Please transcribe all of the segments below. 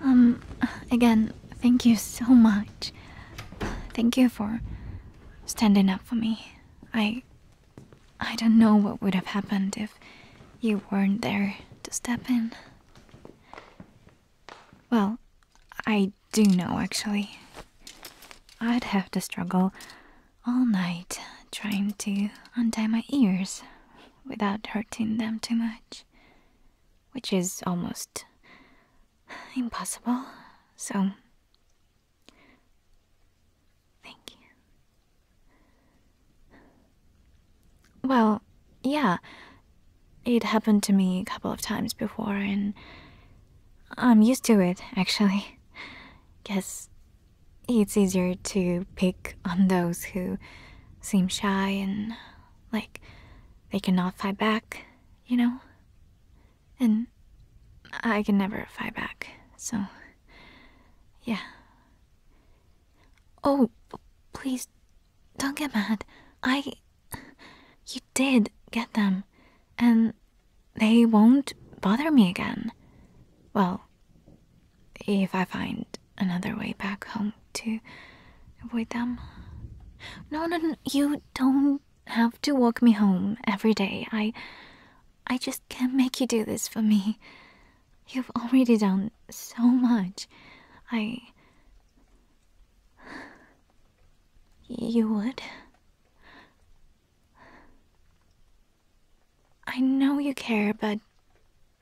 Um, again, thank you so much. Thank you for standing up for me. I. I don't know what would have happened if you weren't there to step in. Well, I do know actually. I'd have to struggle all night trying to untie my ears without hurting them too much, which is almost impossible. So, thank you. Well, yeah, it happened to me a couple of times before, and I'm used to it actually. Guess it's easier to pick on those who seem shy and like they cannot fight back, you know? And I can never fight back, so yeah. Oh, please don't get mad. I. You did get them, and they won't bother me again. Well, if I find another way back home to avoid them. No, no, you don't have to walk me home every day. I I just can't make you do this for me. You've already done so much. I you would I know you care, but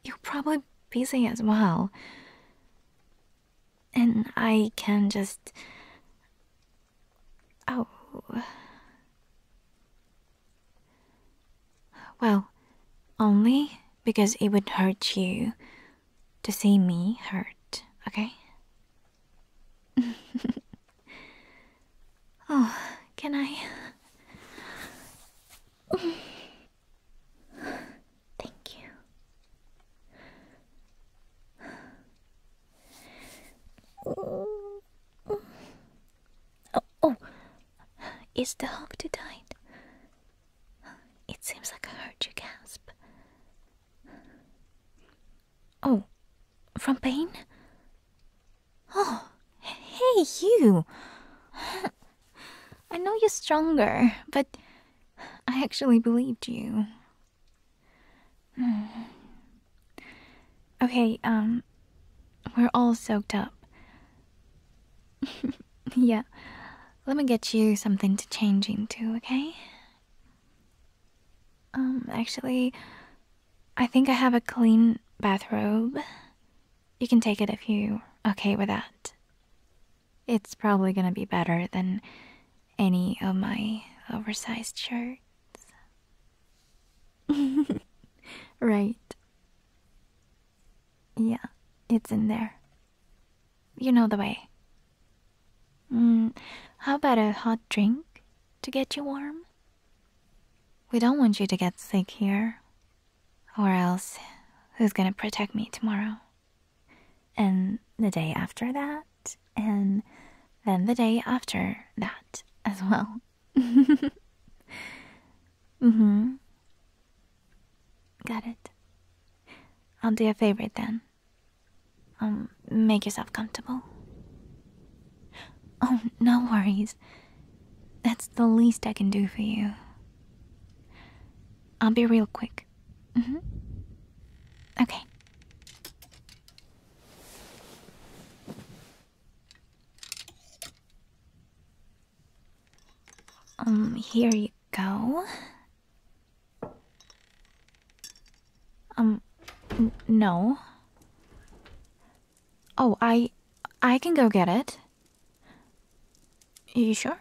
you're probably busy as well. And I can just. Oh. Well, only because it would hurt you to see me hurt, okay? Oh, can I? Thank you. Oh, oh, is the hawk too tight? It seems like I heard you gasp. Oh, from pain? Oh, hey, you! I know you're stronger, but I actually believed you. Okay, um, we're all soaked up. yeah, let me get you something to change into, okay? Um, actually, I think I have a clean bathrobe. You can take it if you're okay with that. It's probably gonna be better than any of my oversized shirts. right. Yeah, it's in there. You know the way. Mm, how about a hot drink to get you warm? We don't want you to get sick here. Or else, who's gonna protect me tomorrow? And the day after that, and then the day after that as well. mm hmm. Got it. I'll do a favor then. Um, make yourself comfortable. Oh, no worries. That's the least I can do for you. I'll be real quick. Mm-hmm. Okay. Um, here you go. Um, no. Oh, I I can go get it. You sure?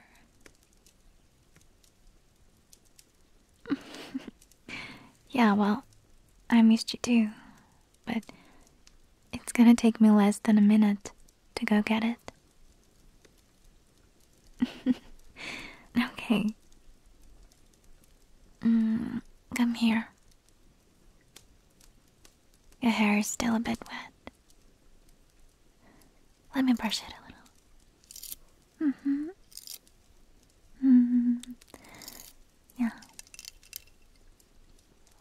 yeah, well, I am used to too. But it's gonna take me less than a minute to go get it. okay. Mm, come here. Your hair is still a bit wet. Let me brush it a little. hmm hmm Yeah.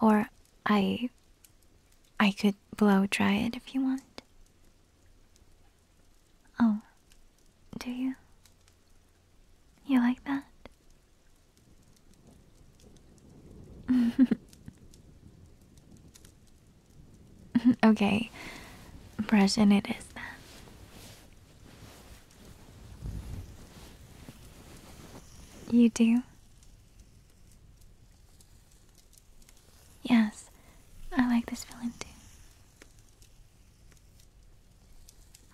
Or I I could blow dry it if you want. Oh, do you? You like that? okay, present it is then. You do? Yes, I like this feeling too.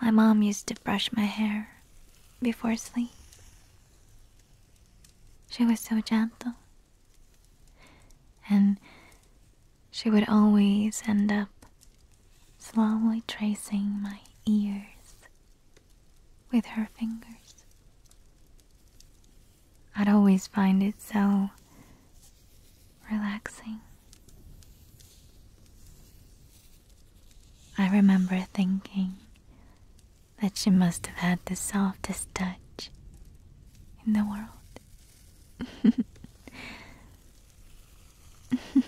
My mom used to brush my hair before sleep. She was so gentle. And she would always end up slowly tracing my ears with her fingers. I'd always find it so relaxing. I remember thinking that she must have had the softest touch in the world.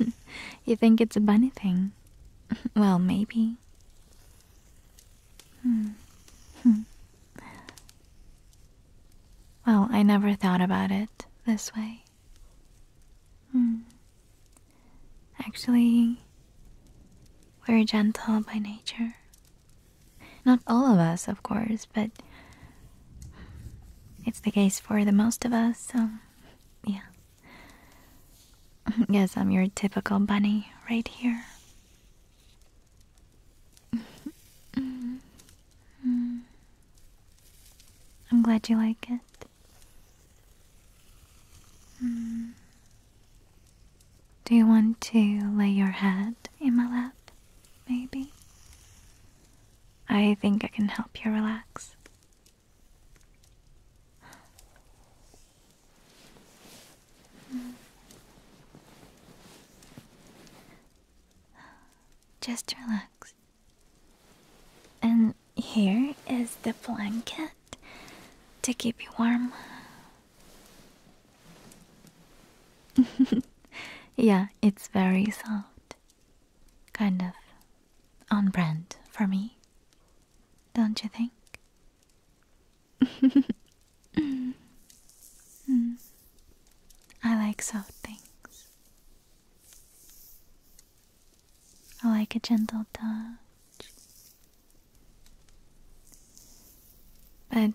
you think it's a bunny thing? well, maybe. Hmm. Well, I never thought about it this way. Hmm. Actually, we're gentle by nature. Not all of us, of course, but it's the case for the most of us, so yeah. Guess I'm your typical bunny right here. Hmm. Hmm. I'm glad you like it. Mm. Do you want to lay your head in my lap, maybe? I think I can help you relax. Just relax. And here is the blanket to keep you warm. yeah, it's very soft. Kind of on brand for me. Don't you think? I like soft things. I like a gentle touch. But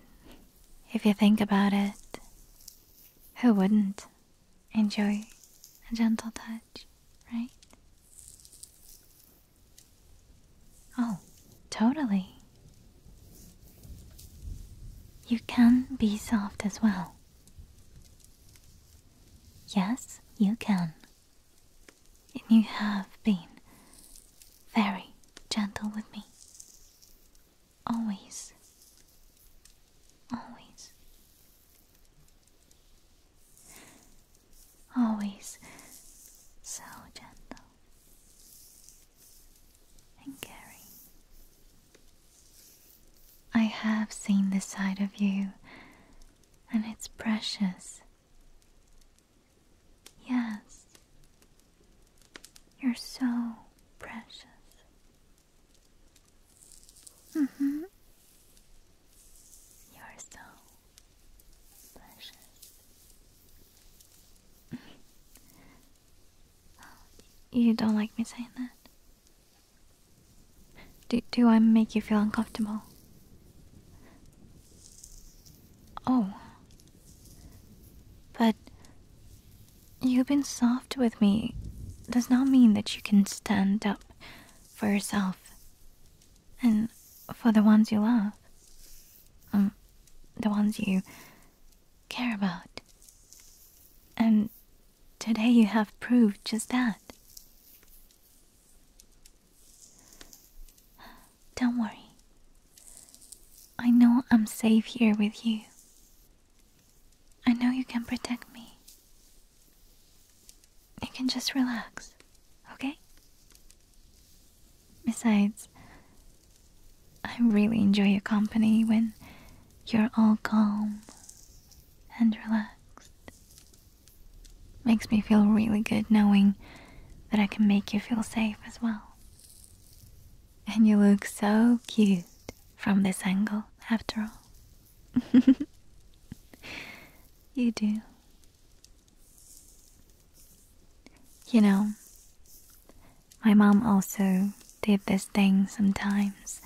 if you think about it, who wouldn't enjoy a gentle touch, right? Oh, totally. You can be soft as well. Yes, you can and you have been very gentle with me. Always. Always. Always so gentle and caring. I have seen the side of you, and it's precious. Yes, you're so precious. hmm. You're so precious. Oh, you don't like me saying that? Do, I make you feel uncomfortable? Oh. But you've been soft with me does not mean that you can stand up for yourself and for the ones you love. Um, the ones you care about. And today you have proved just that. Don't worry. I know I'm safe here with you. I know you can protect me. You can just relax, okay? Besides, I really enjoy your company when you're all calm and relaxed. Makes me feel really good knowing that I can make you feel safe as well. And you look so cute from this angle, after all. you do. You know, my mom also did this thing sometimes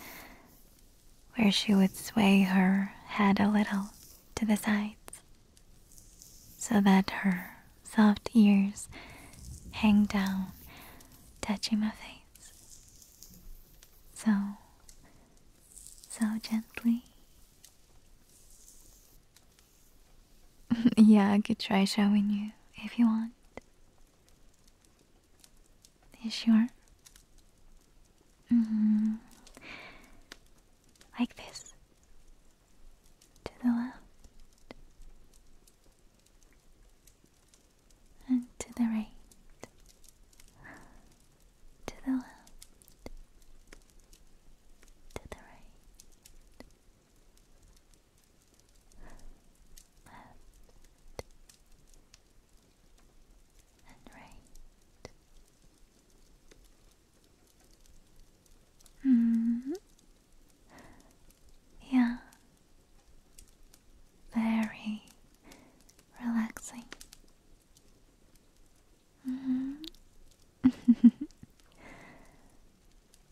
where she would sway her head a little to the sides so that her soft ears hang down, touching my face. So, so gently. yeah, I could try showing you if you want. Is sure? Mm-hmm. Like this. To the left. And to the right. To the left. To the right. Left and right Mm. Yeah. Very relaxing. Mm.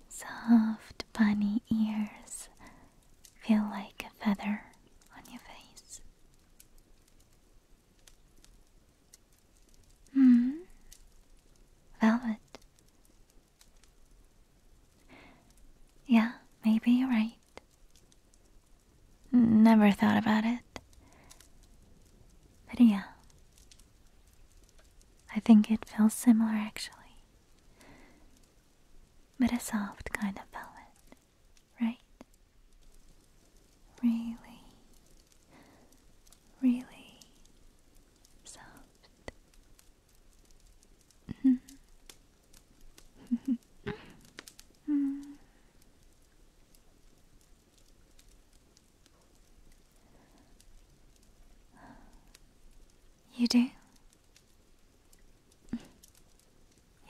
Soft bunny ears feel like a feather on your face. Hmm. Velvet. Yeah, maybe you're right. Never thought about it. But yeah. I think it feels similar actually. But a soft kind of velvet, right? Really really soft. mm. You do?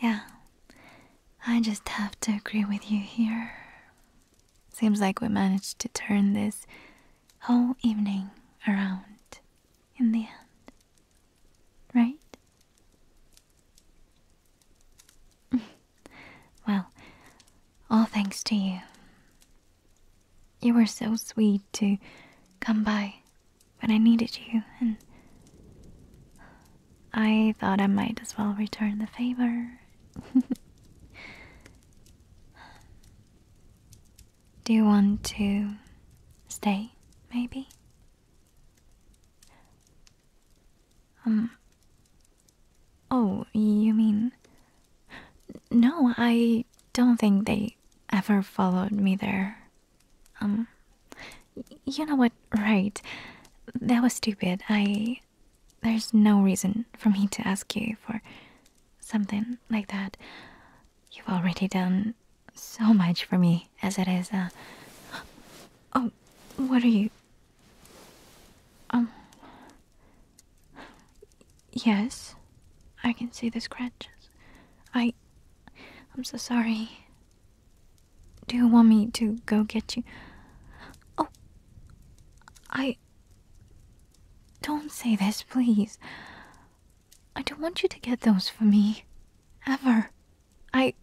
Yeah, I just have to agree with you here. Seems like we managed to turn this whole evening around in the end. Right? well, all thanks to you. You were so sweet to come by when I needed you, and I thought I might as well return the favor. Do you want to stay, maybe? Um. Oh, you mean. No, I don't think they ever followed me there. Um. You know what? Right. That was stupid. I there's no reason for me to ask you for something like that. You've already done so much for me as it is. Uh, oh, what are you? Um. Yes, I can see the scratches. I. I'm so sorry. Do you want me to go get you? Oh, I. Don't say this, please. I don't want you to get those for me. Ever. I.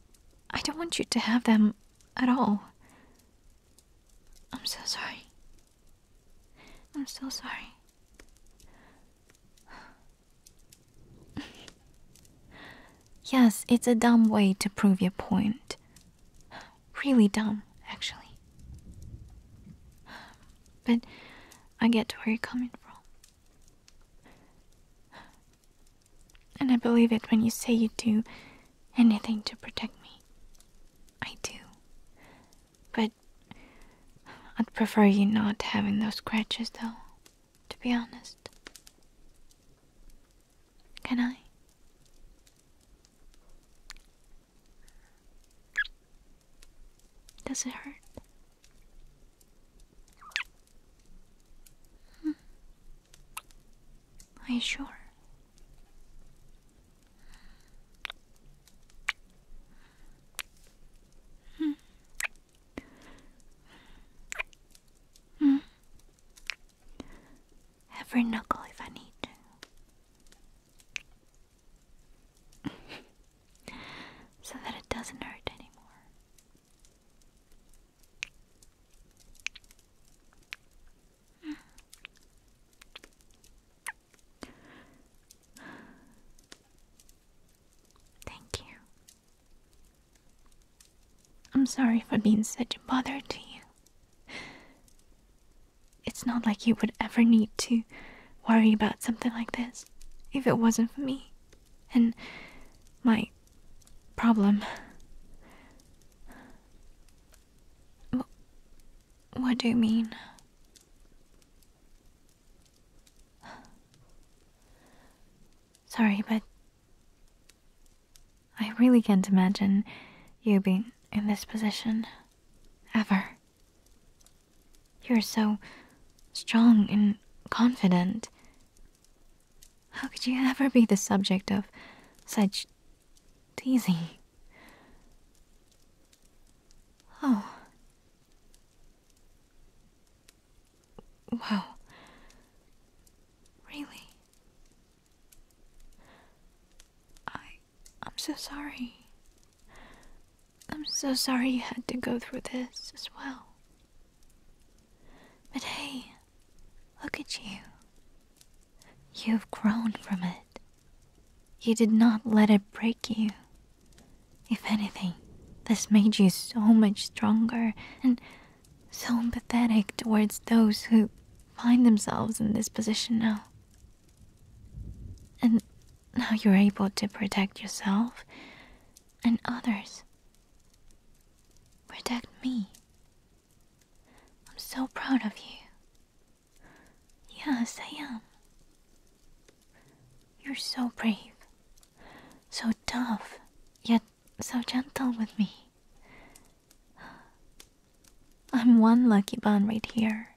I don't want you to have them at all. I'm so sorry. I'm so sorry. yes, it's a dumb way to prove your point. Really dumb, actually. But I get to where you're coming from. And I believe it when you say you'd do anything to protect me. I do. But I'd prefer you not having those scratches, though, to be honest. Can I? Does it hurt? Hmm. Are you sure? Hmm. Hmm. hmm. Every knuckle if I need to. so that it doesn't hurt anymore. Thank you. I'm sorry for being such a bother to you. It's not like you would ever need to worry about something like this if it wasn't for me and my problem. What do you mean? Sorry, but I really can't imagine you being in this position. Ever. You're so strong and confident. How could you ever be the subject of such teasing? Oh. Wow. Really? I. I'm so sorry. I'm so sorry you had to go through this as well. But hey, look at you. You've grown from it. You did not let it break you. If anything, this made you so much stronger and so empathetic towards those who find themselves in this position now. And now you're able to protect yourself and others. Protect me. I'm so proud of you. Yes, I am. You're so brave, so tough, yet so gentle with me. I'm one lucky bun right here.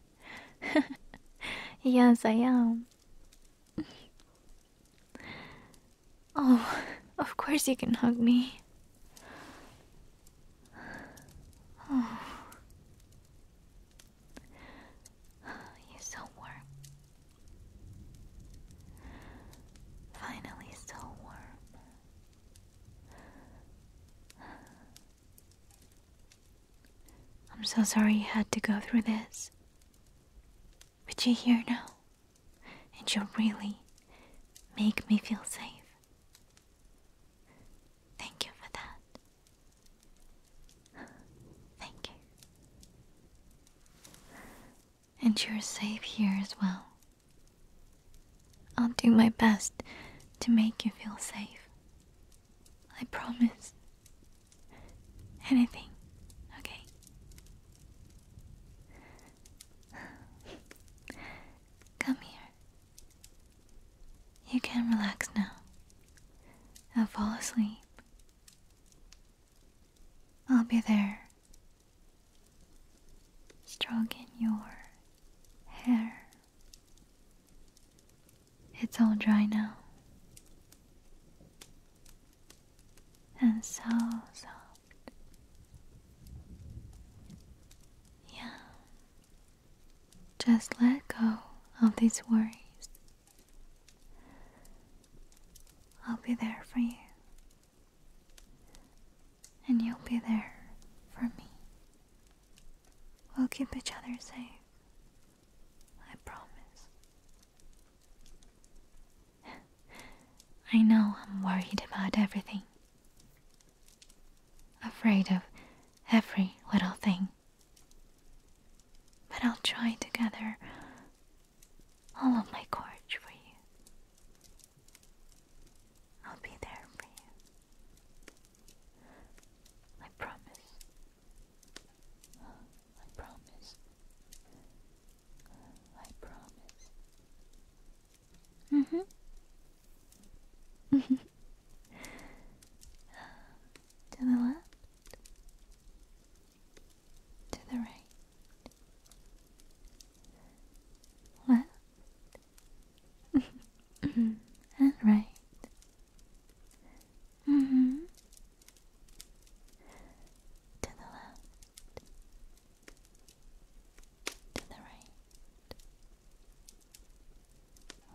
yes, I am. Oh, of course you can hug me. Oh. You're so warm. Finally, so warm. I'm so sorry you had to go through this. But you're here now, and you really make me feel safe. Thank you for that. Thank you. And you're safe here as well. I'll do my best to make you feel safe. I promise. Anything, okay? Come here. You can relax now I'll fall asleep. I'll be there, stroking your hair. It's all dry now and so soft. Yeah. Just let go of these worries. I'll be there for you and you'll be there for me. We'll keep each other safe. I promise. I know I'm worried about everything. Afraid of every little thing. But I'll try to gather all of my courage for you. I'll be there for you. I promise. I promise. I promise. Mm-hmm. to the left. To the right. Left. Mm -hmm. All right. Mm-hmm. To the left. To the right.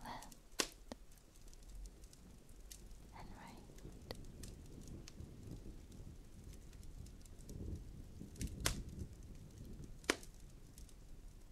Left. And right.